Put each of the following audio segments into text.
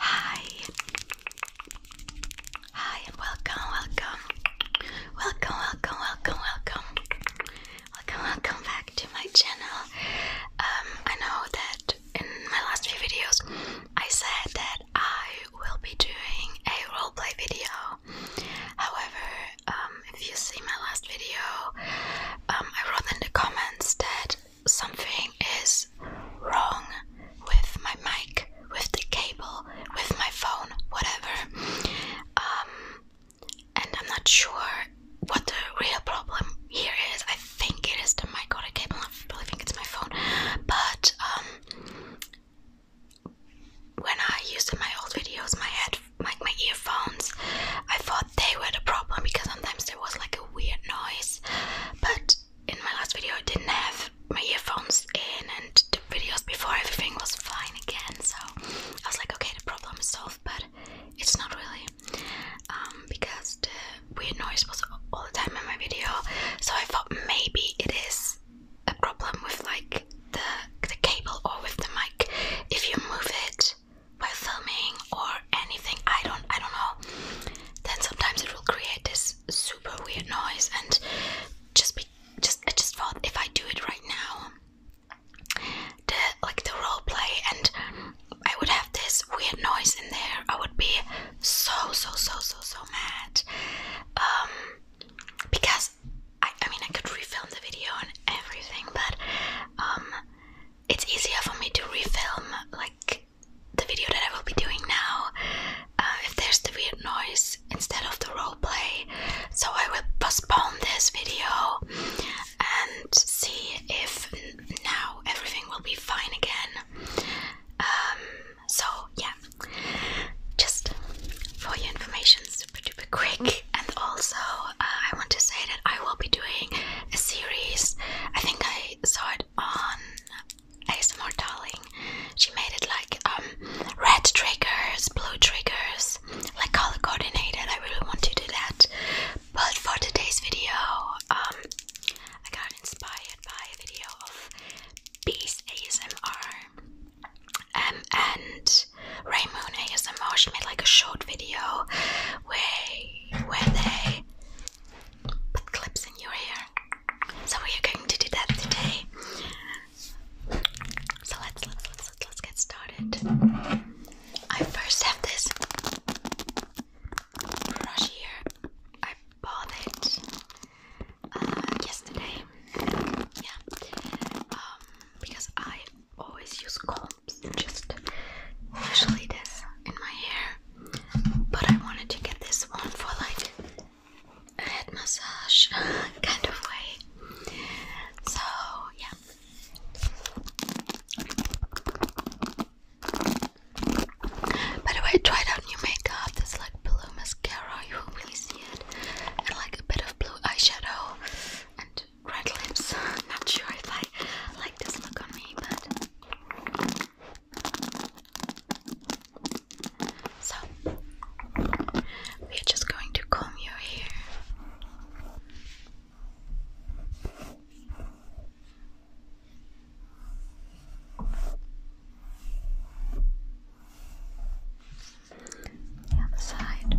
Hi. Hi and welcome, welcome. Welcome, welcome, welcome, welcome. Welcome, back to my channel. Um I know that in my last few videos I said that I will be doing a roleplay video. However, um if you see my last video, um I wrote in the comments that something is wrong with my mic, with the cable, with my phone, whatever. Um, and I'm not sure what the real problem here is. I think it is the mic or the cable. I really think it's my phone. But um, when I used in my old videos, my head, my, my earphones, I thought they were the problem because sometimes there was like a weird noise, but in my last video I didn't have my earphones in, and the videos before everything was fine again. So I was like, okay, the problem is solved, but it's not really, um, because the weird noise was all the time in my video. So I thought maybe it is a problem with like the the cable or with the mic. If you move it out filming or anything i don't i don't know then sometimes it will create this super weird noise and just be just i just thought if i do it right now the like the role play and i would have this weird noise in there i would be so so so so so mad um because I, I mean I could refilm the video and everything but um it's easier for me to refilm like the video that I will be doing now uh, if there's the weird noise instead of the roleplay. So I will postpone this video and see if now everything will be fine again. Um, so yeah, just for your information, super duper quick. And also, uh, I want to say I will be doing a series. I think I saw it on ASMR Darling. She made it like um, red triggers, blue triggers, like color coordinated. I really want to do that. But for today's video, um, I got inspired by a video of Beast ASMR um, and Raymoon ASMR. She made like a short video way where they put clips in your hair. So we are going to do that today. So let's let's let's get started. I first have this brush here. I bought it uh, yesterday. Yeah, um, because I always use combs, just usually this in my hair. But I wanted to get this one for like a head massage kind of way. So, yeah. By the way, I tried out new makeup. There's like blue mascara, you won't really see it, and like a bit of blue eyeshadow, and red lips. Not sure if I like this look on me, but. So, we're just going to comb your hair. The other side.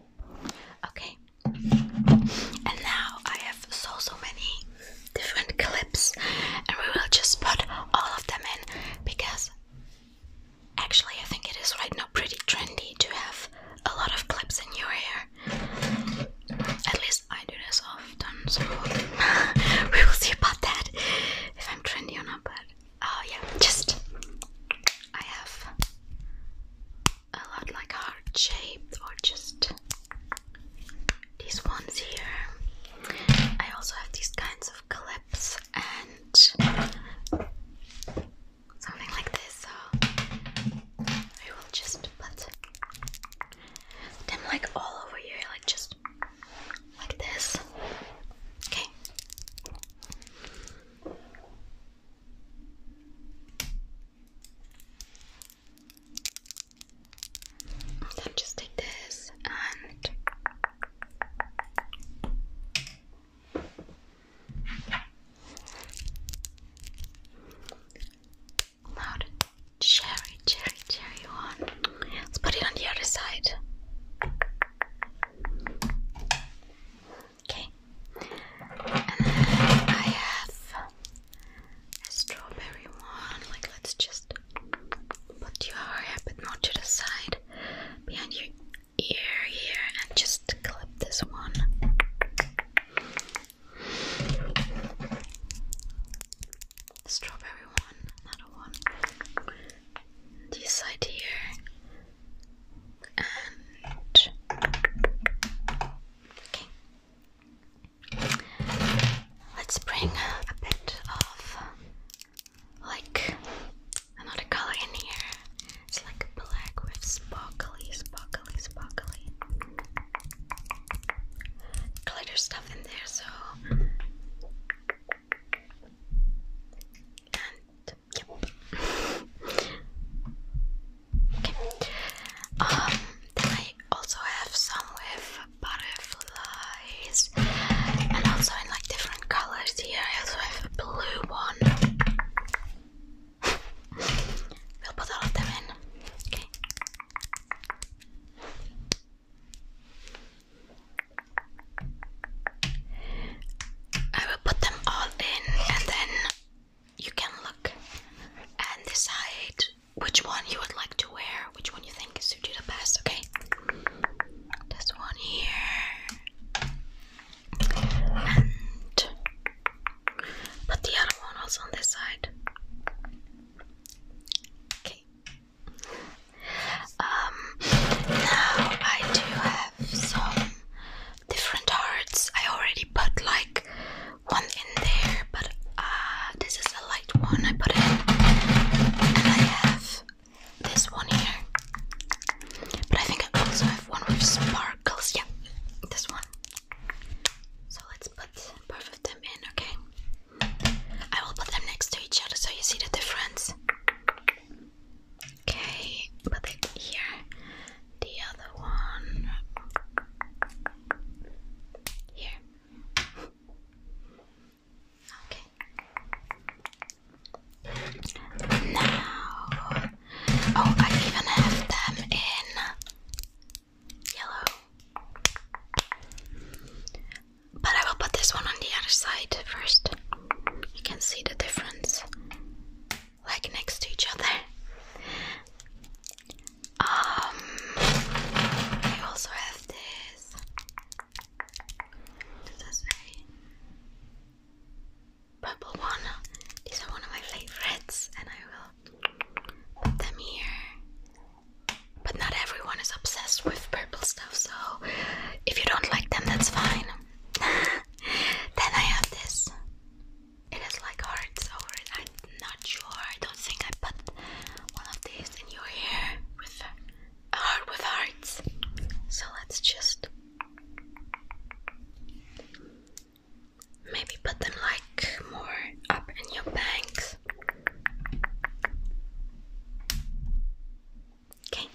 Okay, and now I have so so many different clips, and we will just put all of them in because actually, I think it is right now pretty trendy to have a lot of clips in your hair. At least I do this often, so we will see about that if I'm trendy or not. But oh, yeah, just I have a lot like heart shaped or just these ones here. I also have these kinds of clips and something like this. So I will just put them like all over here, like just like this. Okay. Then just take this and now cherry, cherry, cherry one. Let's put it on the other side. Okay. And then I have a strawberry one. Like, let's just put your hair a the side behind your ear here and just clip this one. Strawberry one, another one this side here and okay. Let's bring a bit of like another color in here. It's like black with sparkly, sparkly, sparkly glitter stuff in there. So and Okay. Um, I also have some with butterflies, and also in like different colors. Here I also have a blue one. We'll put all of them in. Okay. I will put them all in and then you can look and decide which one you would like to wear, which one you think suits you the best, okay? This one here. And put the other one also on this side. Okay. Um now I do have some different hearts. I already put like one in there, but ah, this is a light one I put in. And I have this one here. But I think I also have one with sparkles. Yeah, this one. So let's put both of them in, okay? I will put them next to each other so you see the difference. Okay, put here. The other one here. Okay. Now, oh, I even have them in yellow. But I will put this one on the other side first. You can see the difference, like next to each other. Um, I also have this. Does Purple one. These are one of my favorites, and I will put them here. But not everyone is obsessed with purple stuff, so if you don't like them, that's fine. then I have this. It has like hearts over it. I'm not sure. I don't think I put one of these in your hair with a heart with hearts. So let's just maybe put them like more up in your bangs. Okay.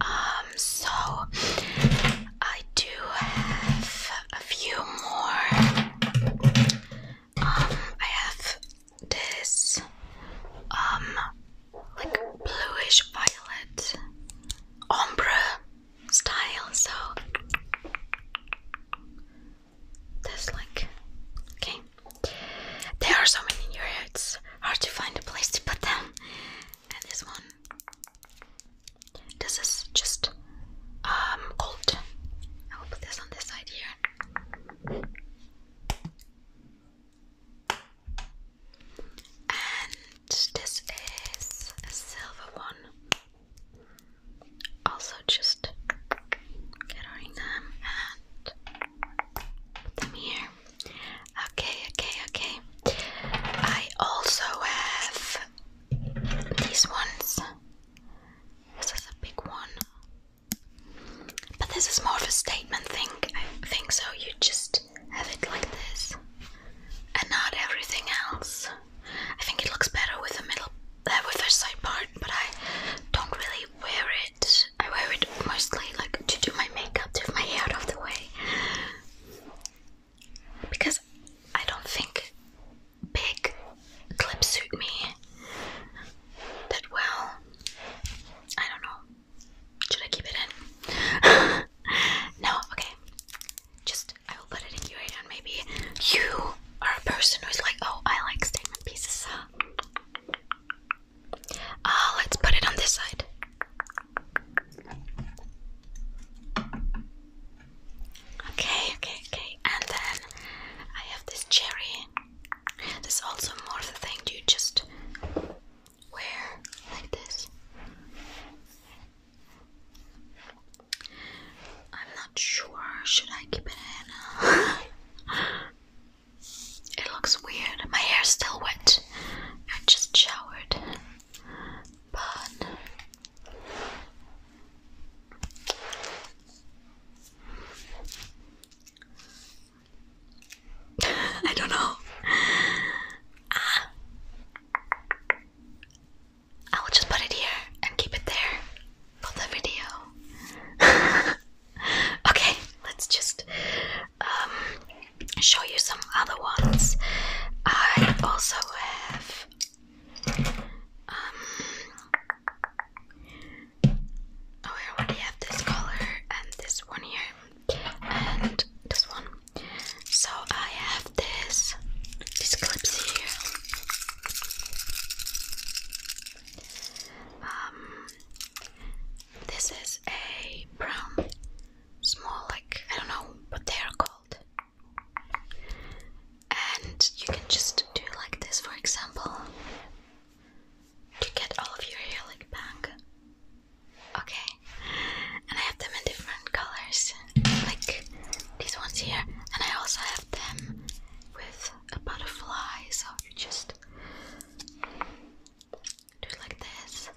Um, so I do have a few more. Um, I have this um like bluish violet ombre style, so this like okay. There are so many here, it's hard to find a place to put them. And this one. This is just um gold. I will put this on this side here. And this is a silver one. Also, just get them and them here. Okay, okay, okay. I also have these ones. This is a big one. But this is more of a statement thing. I think so. You just have it like this and not everything else. I think it looks better with the middle, there uh, with the side part, but I don't really wear it I wear it mostly like to do my makeup, to have my hair out of the way. Because I don't think big clips suit me that well. I don't know. Should I keep it in? no, okay. Just I will put it in your and maybe you are a person who's like, oh I like statement pieces, so uh, let's put it on this side. Okay, okay, okay. And then I have this cherry. This is also more of the thing you just wear like this. I'm not sure. Should I keep it in? It looks weird. My hair's still wet. I just showered. But I don't know. Ah. I will just put it here and keep it there for the video. okay, let's just um, show you some other ones. I also have um, oh I already have this color and this one here and this one. So I have this these clips here. Um, this is a brown, small, like I don't know what they are called. And you can just do like this, for example, to get all of your hair like back. Okay, and I have them in different colors, like these ones here, and I also have them with a butterfly, so you just do it like this.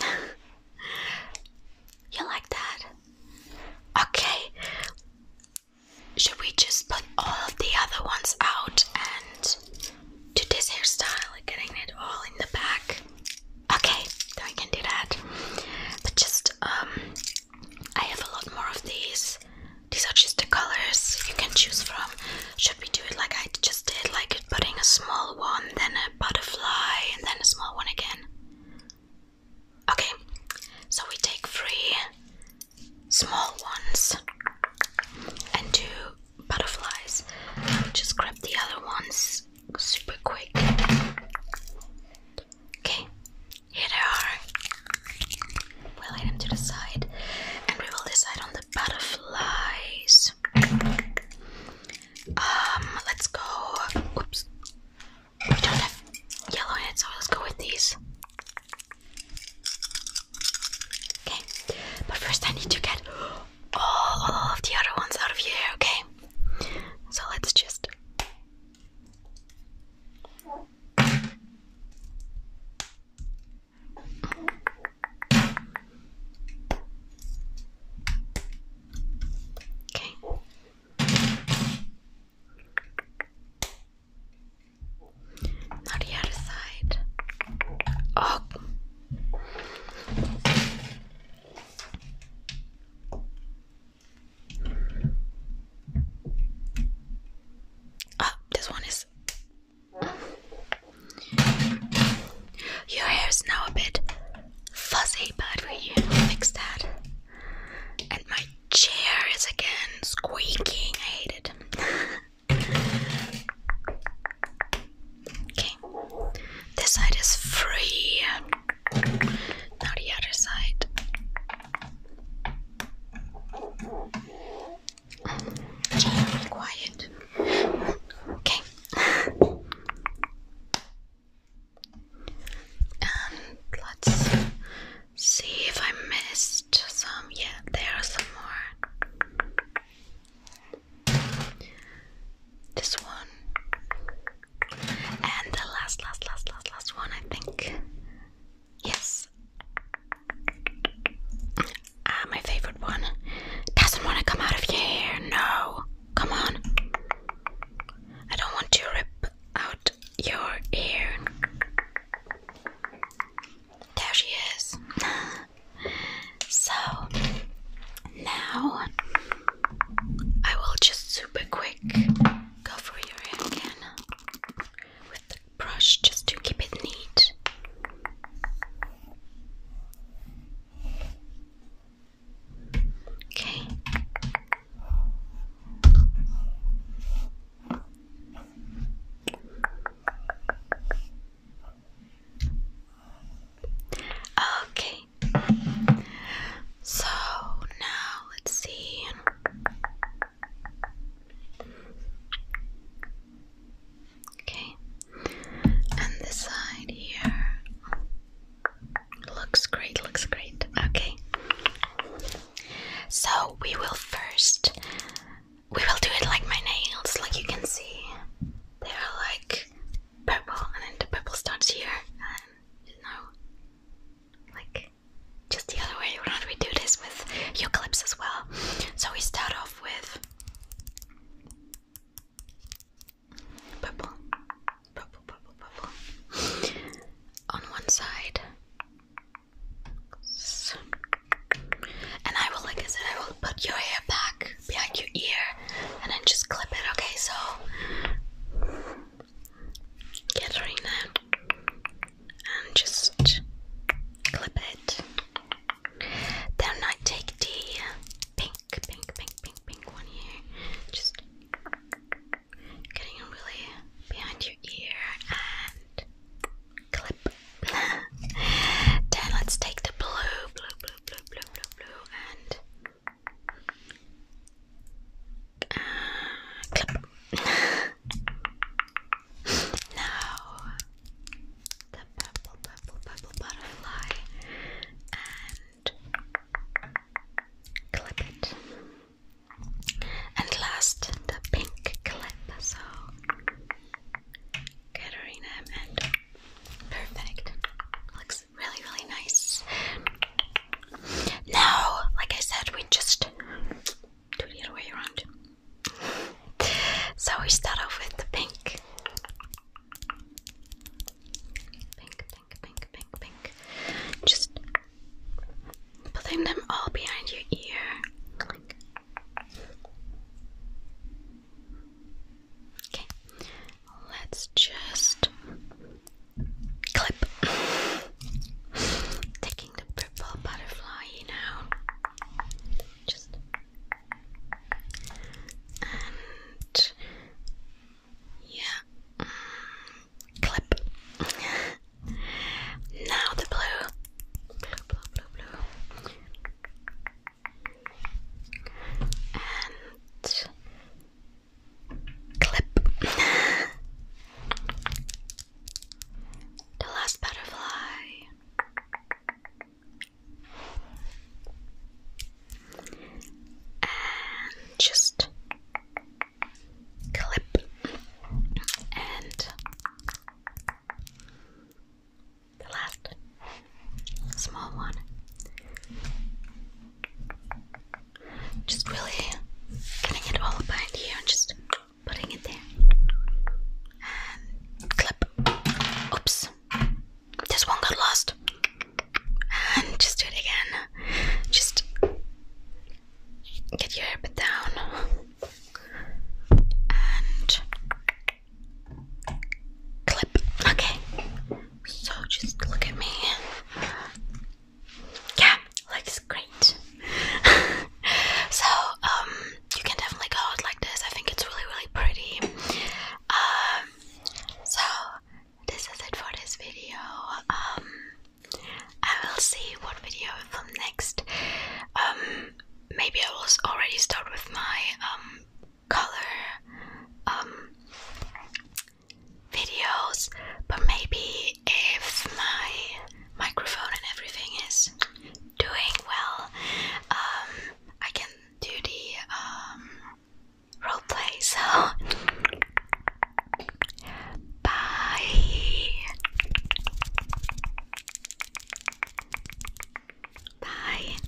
you like that? Okay. Should we just put all of the other ones out and do this hairstyle, getting it all in the back? Okay, I can do that. But just um, I have a lot more of these. These are just the colors you can choose from. Should we do it like I just did, like putting a small one, then a butterfly, and then a small one again? Okay, so we take three small ones and two butterflies. I'll just grab the other ones super quick. Okay, here they are. We'll lay them to the side and we will decide on the butterflies. Um, let's go. Oops, we don't have yellow in so let's go with these. Okay, but first I need to get all of the other ones out of here, okay? So let's just. Okay. Not the other side. Oh. Ah, this one is. Your hair is now a bit fuzzy, but we fix that. And my chair is again squeaking. I hate it. okay. This side is free. Now the other side. quiet. Okay. and let's see if I missed some. Yeah, there are some more. This one. And the last, last, last, last, last one, I think. Yes. Ah, my favorite one. Doesn't want to come out of your hair. No. Come on. I don't want to rip out your ear. There she is. so now I will just super quick go your hair again with the brush just to keep it neat. Okay. Okay, so now let's see. Okay. And this side here looks great, looks great. Okay. So we will first we will do it like my nails, like you can see. They're like purple and then the purple starts here you know like just the other way around we do this with eucalypts as well. So we start off with purple, purple, purple, purple on one side. And I will, like I said, I will put your hair back behind your ear and then just clip it, okay? So get right now and just clip it. Then I take the pink, pink, pink, pink, pink one here. Just getting really behind your ear and clip. then let's take the blue, blue, blue, blue, blue, blue, and now the purple, purple, purple butterfly and clip it. And last, the pink clip. So, Katerina and perfect. Looks really, really nice. Now, like I said, we just do the other way around. So we start off with the pink. Pink, pink, pink, pink, pink. Just putting them all behind your ear. Okay, Let's just clip. Taking the purple butterfly now. Just and yeah, mm, clip. now the blue, clip. the last butterfly. And just clip and the last small one. Just really getting it all behind here and just putting it there. clip. Oops. This one got lost. And just do it again. Just get your hair bit down. And clip. Okay. So just look at me. Yeah, looks great. so, um, you can definitely go out like this. I think it's really, really pretty. Um, so this is it for this video. Um, I will see what video I next. Um, maybe I will already start with my um color um, videos, but maybe if my microphone and everything is doing well, um, I can do the um, role play. So, bye. Bye.